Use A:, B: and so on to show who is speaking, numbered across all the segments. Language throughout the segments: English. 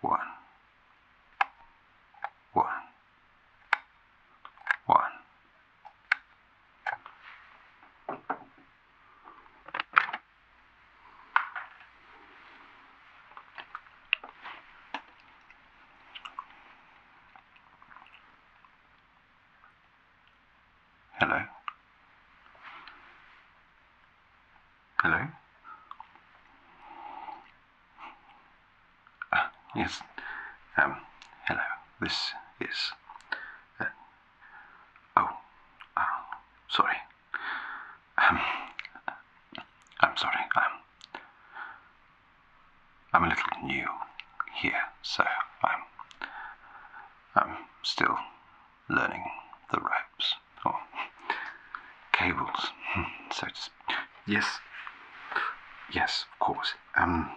A: One. One. One. Hello? Hello? Ah, yes, um, hello, this is... Uh, oh, uh, sorry. Um, I'm sorry, I'm... I'm a little new here, so I'm... I'm still learning the ropes, or oh, cables, hmm, so to Yes, yes, of course. Um,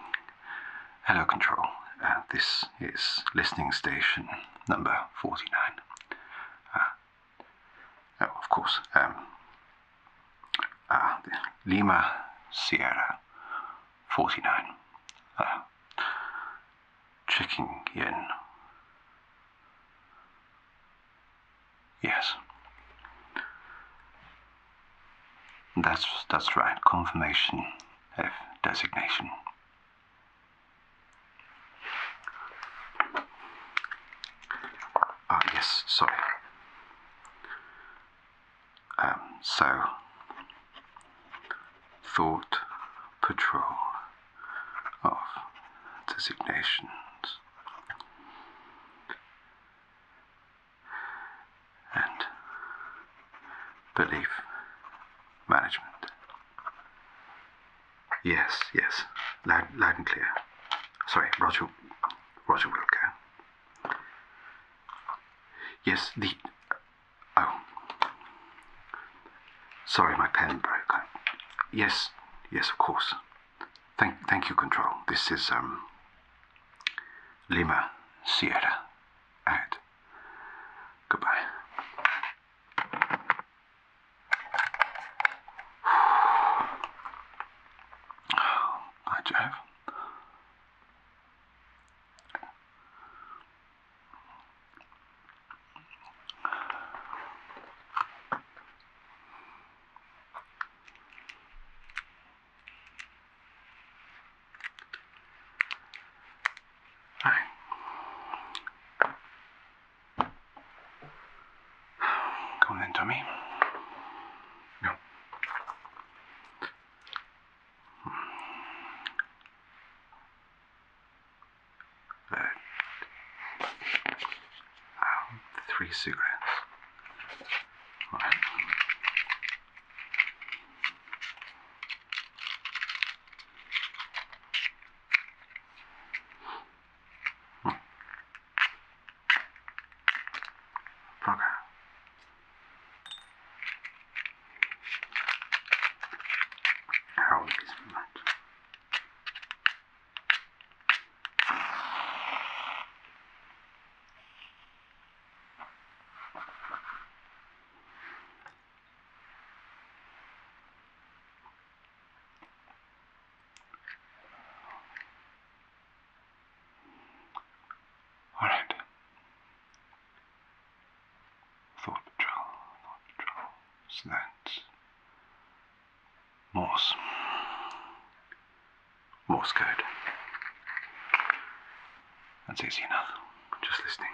A: hello, Control. Uh, this is listening station number 49. Uh, of course. Um, uh, Lima Sierra 49 checking in. Yes. That's, that's right, confirmation of designation. Ah, yes, sorry. Um, so, Thought Patrol of Designations. And belief management. Yes, yes, loud, and clear. Sorry, Roger, Roger Wilco. Yes, the Oh. Sorry, my pen broke. yes, yes, of course. Thank, thank you, Control. This is um, Lima Sierra. Out. Goodbye. Hi, Jeff. Come on then, Tommy. No. But um, three cigarettes. All right. Hmm. How is that? All right thought patrol, thought patrol. So that's Morse. Morse code. That's easy enough. Just listening.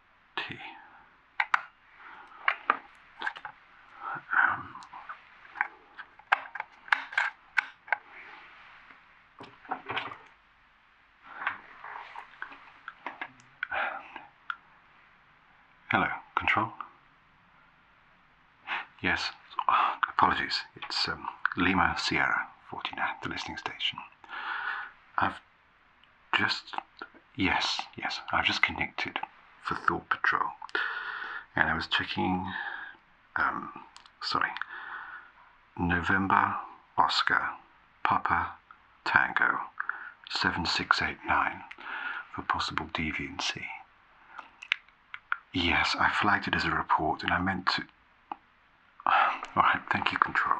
A: T. Um, hello, control? Yes, apologies, it's um, Lima Sierra 49, the listening station. I've just yes, yes, I've just connected for Thought Patrol, and I was checking. Um, sorry, November Oscar Papa Tango 7689 for possible deviancy. Yes, I flagged it as a report and I meant to all right, thank you, Control.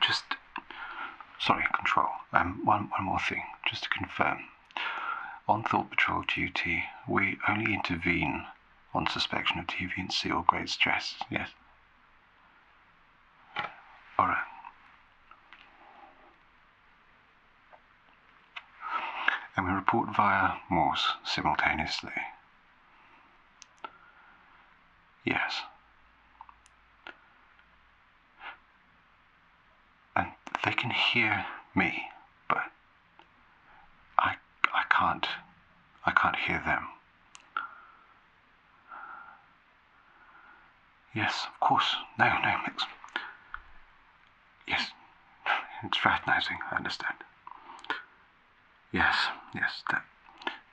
A: Just, sorry, Control. Um, one, one more thing, just to confirm. On Thought Patrol duty, we only intervene on suspicion of deviancy or great stress, yes? All right. And we report via Morse simultaneously. Yes. And they can hear me, but I, I can't. I can't hear them. Yes, of course. No, no, it's. Yes, it's fraternising, I understand. Yes, yes.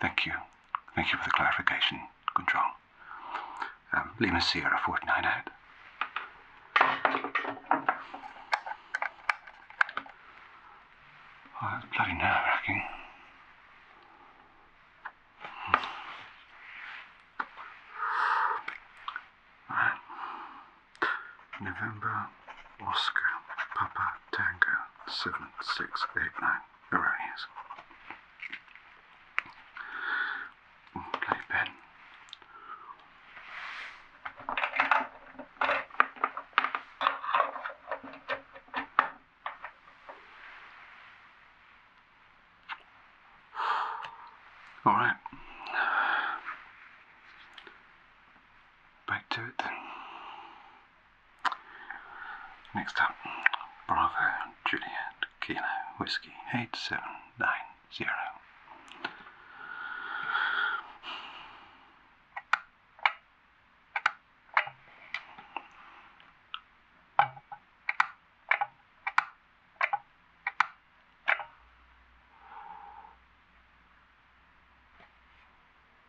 A: thank you. Thank you for the clarification, Control. Um, Lima Sierra, fortnight out. Oh, that's bloody nerve wracking. Hmm. Right. November Oscar Papa Tango 7689 erroneous. Play pen. All right. Back to it Next up, Bravo Juliette. Kilo Whiskey 8790.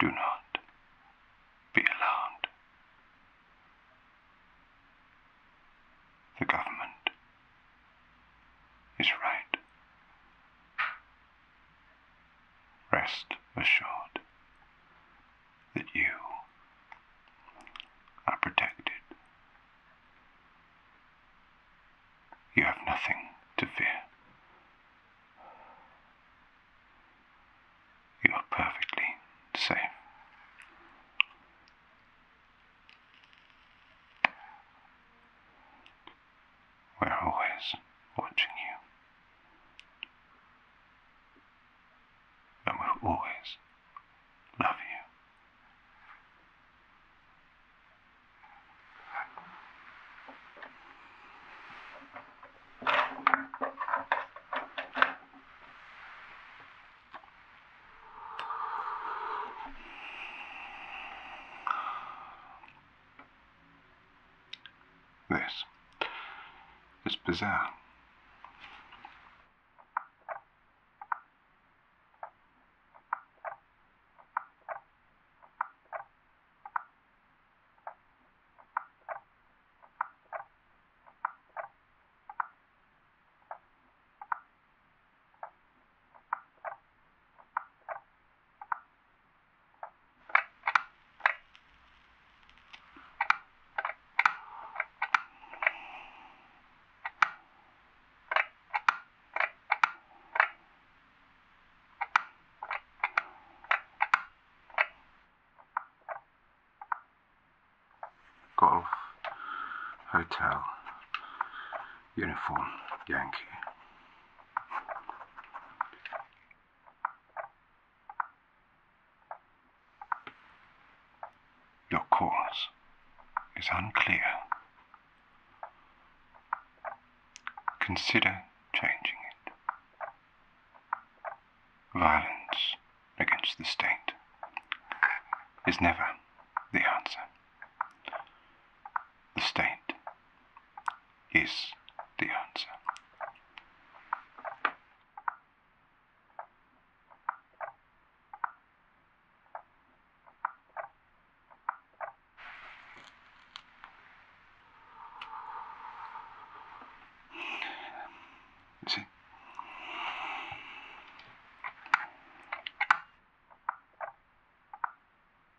A: Do not be alarmed. The government is right. Rest assured that you are protected. You have nothing to fear. You are perfectly safe. We're always watching you. And we'll always love you this. It's bizarre. Golf Hotel Uniform Yankee. Your cause is unclear. Consider changing it. Violence against the state is never the answer. The state is the answer. See?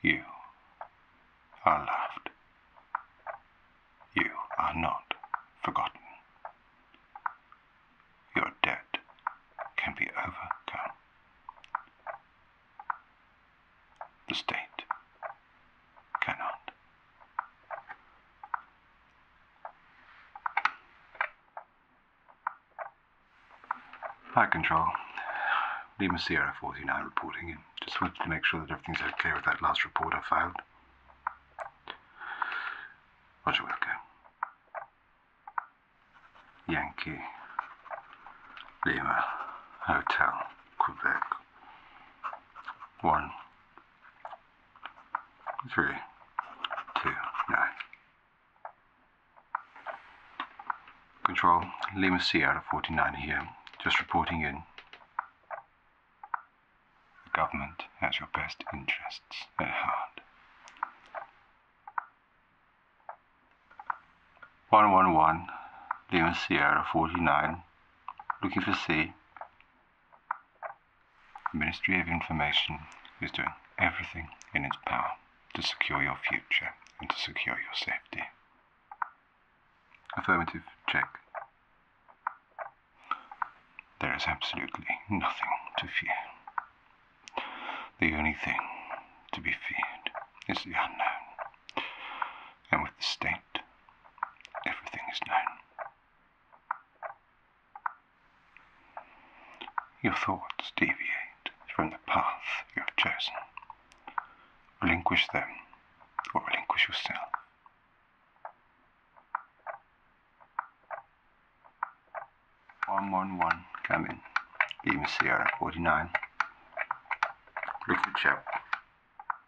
A: You are loved. You are not forgotten. Your debt can be overcome. The state cannot. Flight control, Lima Sierra 49 reporting Just wanted to make sure that everything's okay with that last report I filed. Roger, Yankee, Lima, Hotel, Quebec. 1 three, two, nine. Control Lima C out of 49 here, just reporting in. The government has your best interests at heart. 111 Lima Sierra 49, looking for sea. The Ministry of Information is doing everything in its power to secure your future and to secure your safety. Affirmative check. There is absolutely nothing to fear. The only thing to be feared is the unknown. And with the state, everything is known. Your thoughts deviate from the path you have chosen. Relinquish them or relinquish yourself. One one one cabin, Beam Sierra forty nine. Liquid shell.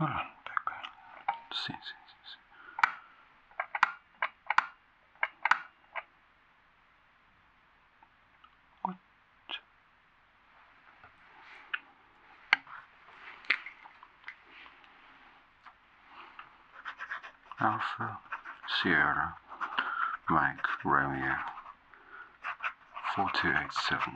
A: Ah, Alpha Sierra Mike Romeo 4287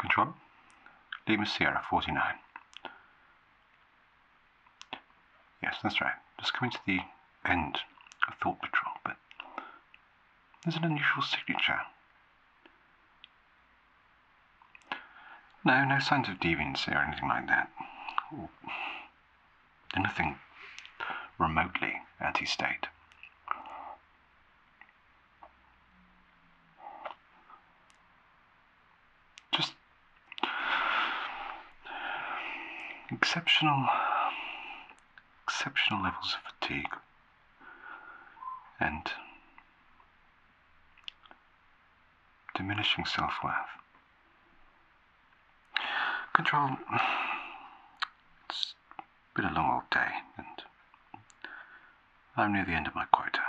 A: Control, Lima Sierra 49. Yes, that's right. Just coming to the end of Thought Patrol, but there's an unusual signature. No, no signs of deviance or anything like that. Or anything remotely anti state. Just exceptional exceptional levels of fatigue and diminishing self worth. Control, it's been a long old day, and I'm near the end of my quota.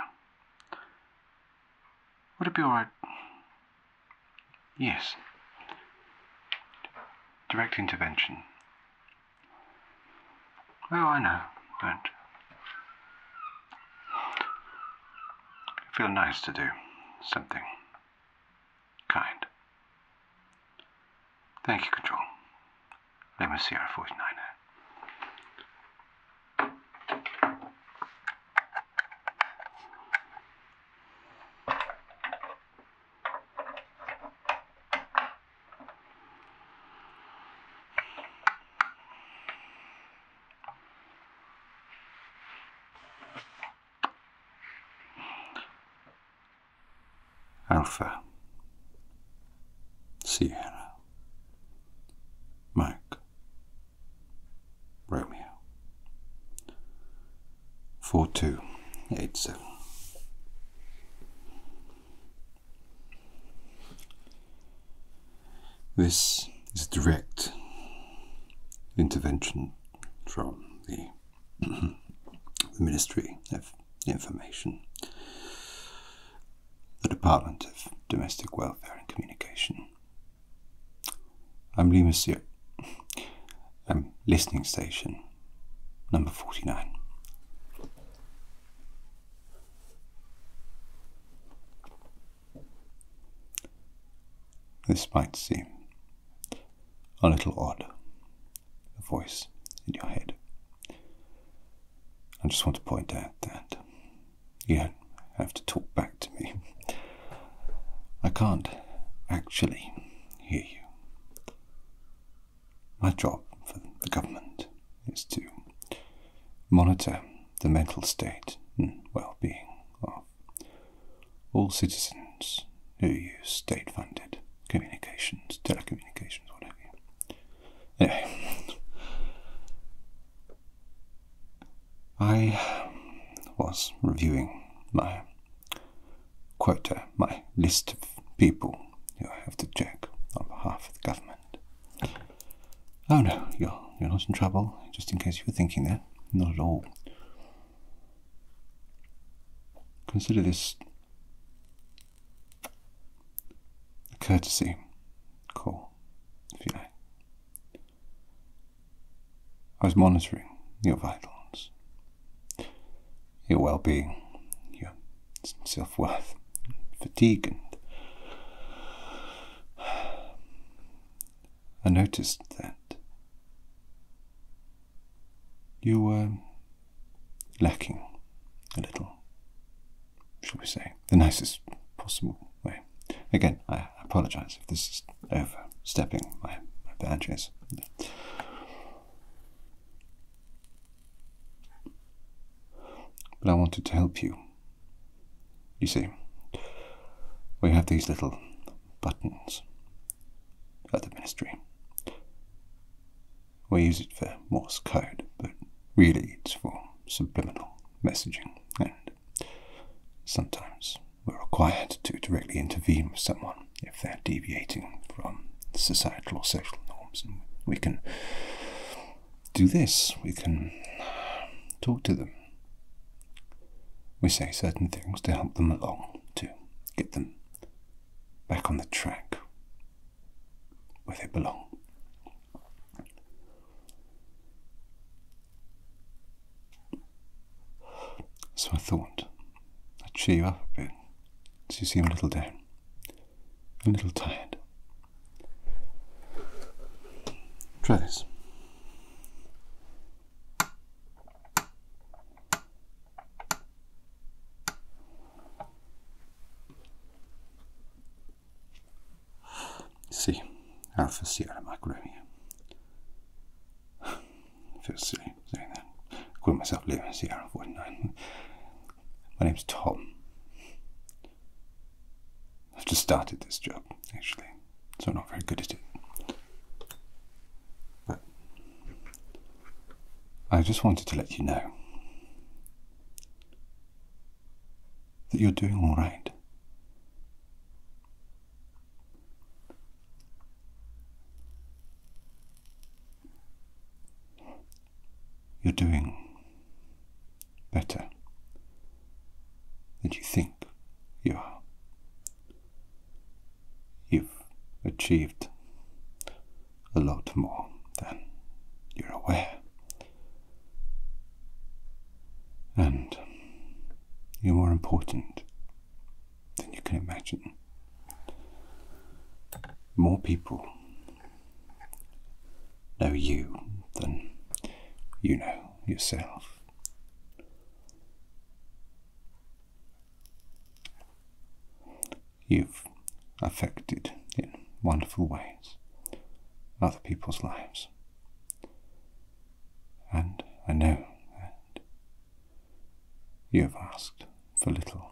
A: Would it be alright Yes. Direct intervention. Oh, I know, but feel nice to do something kind. Thank you, Control. Let me see our 49 Alpha, Sierra, Mike, Romeo, 4287. This is direct intervention from the, Ministry of Information, the Department of Domestic Welfare and Communication. I'm Lee Monsieur um, listening station, number 49. This might seem a little odd, a voice in your head. I just want to point out that you don't have to talk back to me. I can't actually hear you. My job for the government is to monitor the mental state and well being of all citizens who use state funded communications, telecommunications, whatever. Anyway, I was reviewing my quota, uh, my list of people who have to check on behalf of the government. Oh no, you're, you're not in trouble, just in case you were thinking that. Not at all. Consider this a courtesy call, if you like. I was monitoring your vitals, your well being, your self worth, fatigue, and I noticed that you were lacking a little, shall we say, the nicest possible way. Again, I apologize if this is overstepping my, my boundaries. But I wanted to help you. You see, we have these little buttons at the ministry. We use it for Morse code, but really it's for subliminal messaging and sometimes we're required to directly intervene with someone if they're deviating from societal or social norms. And we can do this, we can talk to them. We say certain things to help them along, to get them back on the track where they belong. So I thought I'd cheer you up a bit, as you seem a little down, a little tired. Try this. See, Alpha Sierra Mike Romeo. I feel silly saying that. I call myself Leo CR49. My name's Tom. I've just started this job, actually, so I'm not very good at it. But I just wanted to let you know that you're doing all right. You're doing better than you think you are. You've achieved a lot more than you're aware. And you're more important than you can imagine. More people know you than you know yourself. You've affected in wonderful ways other people's lives. And I know that you have asked for little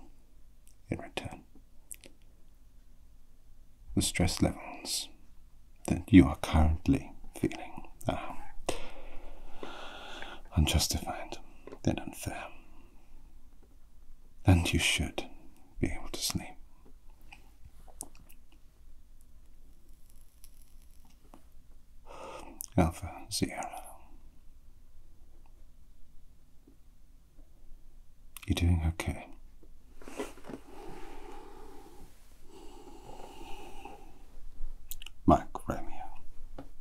A: in return. The stress levels that you are currently feeling are unjustified then unfair. And you should be able to sleep. Alpha Sierra. You're doing okay. Mike Romeo,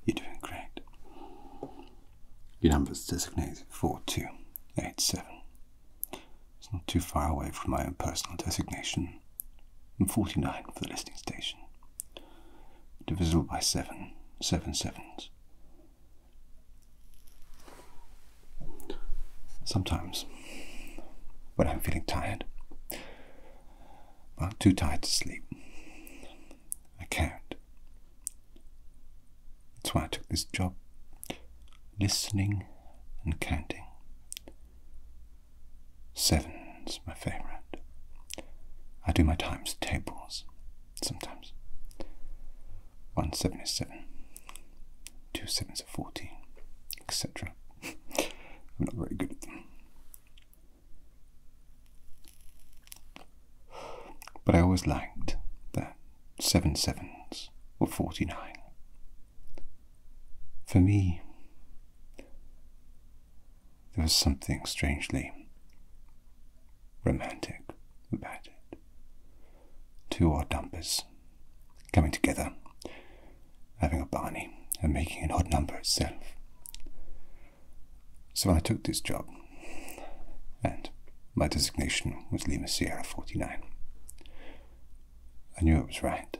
A: you're doing great. Your number's designated 4287. It's not too far away from my own personal designation and 49 for the listening station. Divisible by 7, 7 sevens. Sometimes, when I'm feeling tired, but too tired to sleep, I count. That's why I took this job listening and counting. Sevens, my favourite. I do my times tables sometimes. One seven is seven, two sevens are fourteen, etc. I'm not very good at them. But I always liked that seven sevens were forty nine. For me, there was something strangely romantic about it. Two odd numbers coming together, having a Barney, and making an odd number itself. So I took this job, and my designation was Lima Sierra 49. I knew it was right.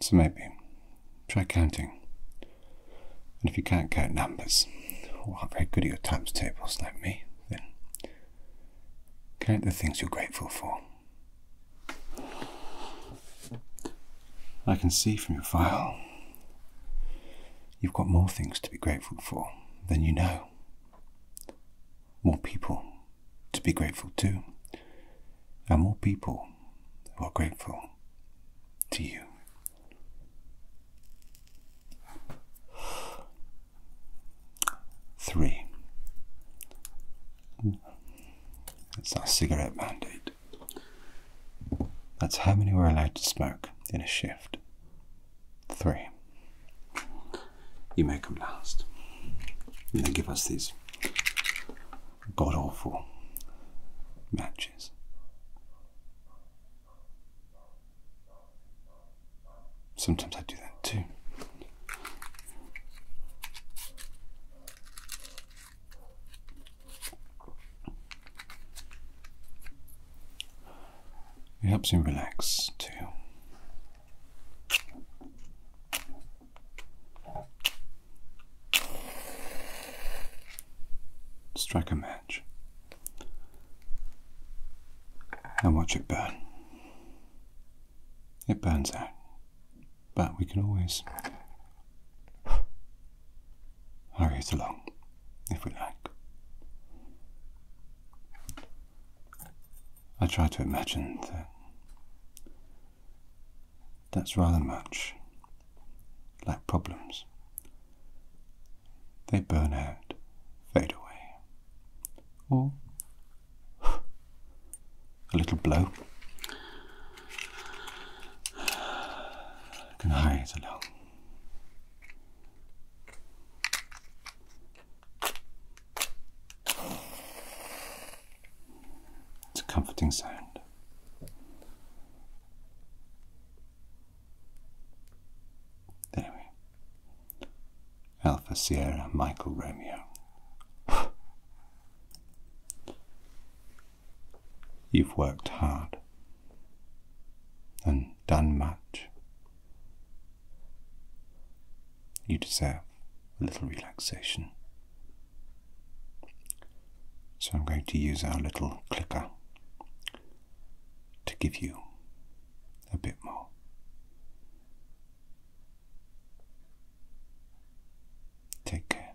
A: So maybe try counting. And if you can't count numbers, or aren't very good at your times tables like me, then count the things you're grateful for. I can see from your file you've got more things to be grateful for than you know more people to be grateful to, and more people who are grateful to you. Three. It's our cigarette mandate. That's how many we're allowed to smoke in a shift. Three. You make them last. And they give us these god awful matches. Sometimes I do that too. It helps you relax too. Strike a match and watch it burn. It burns out, but we can always hurry it along if we like. I try to imagine that that's rather much like problems. They burn out, fade away, or a little blow can hurry along. It's a comforting sound. There we Alpha Sierra Michael Romeo. You've worked hard and done much, you deserve a little relaxation. So I'm going to use our little clicker to give you a bit more. Take care.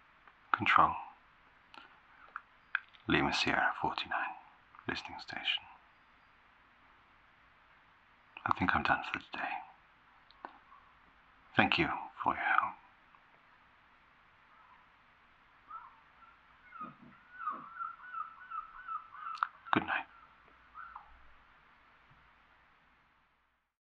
A: Control. Lima Sierra 49, listening station. I think I'm done for today. Thank you for your help. Good night.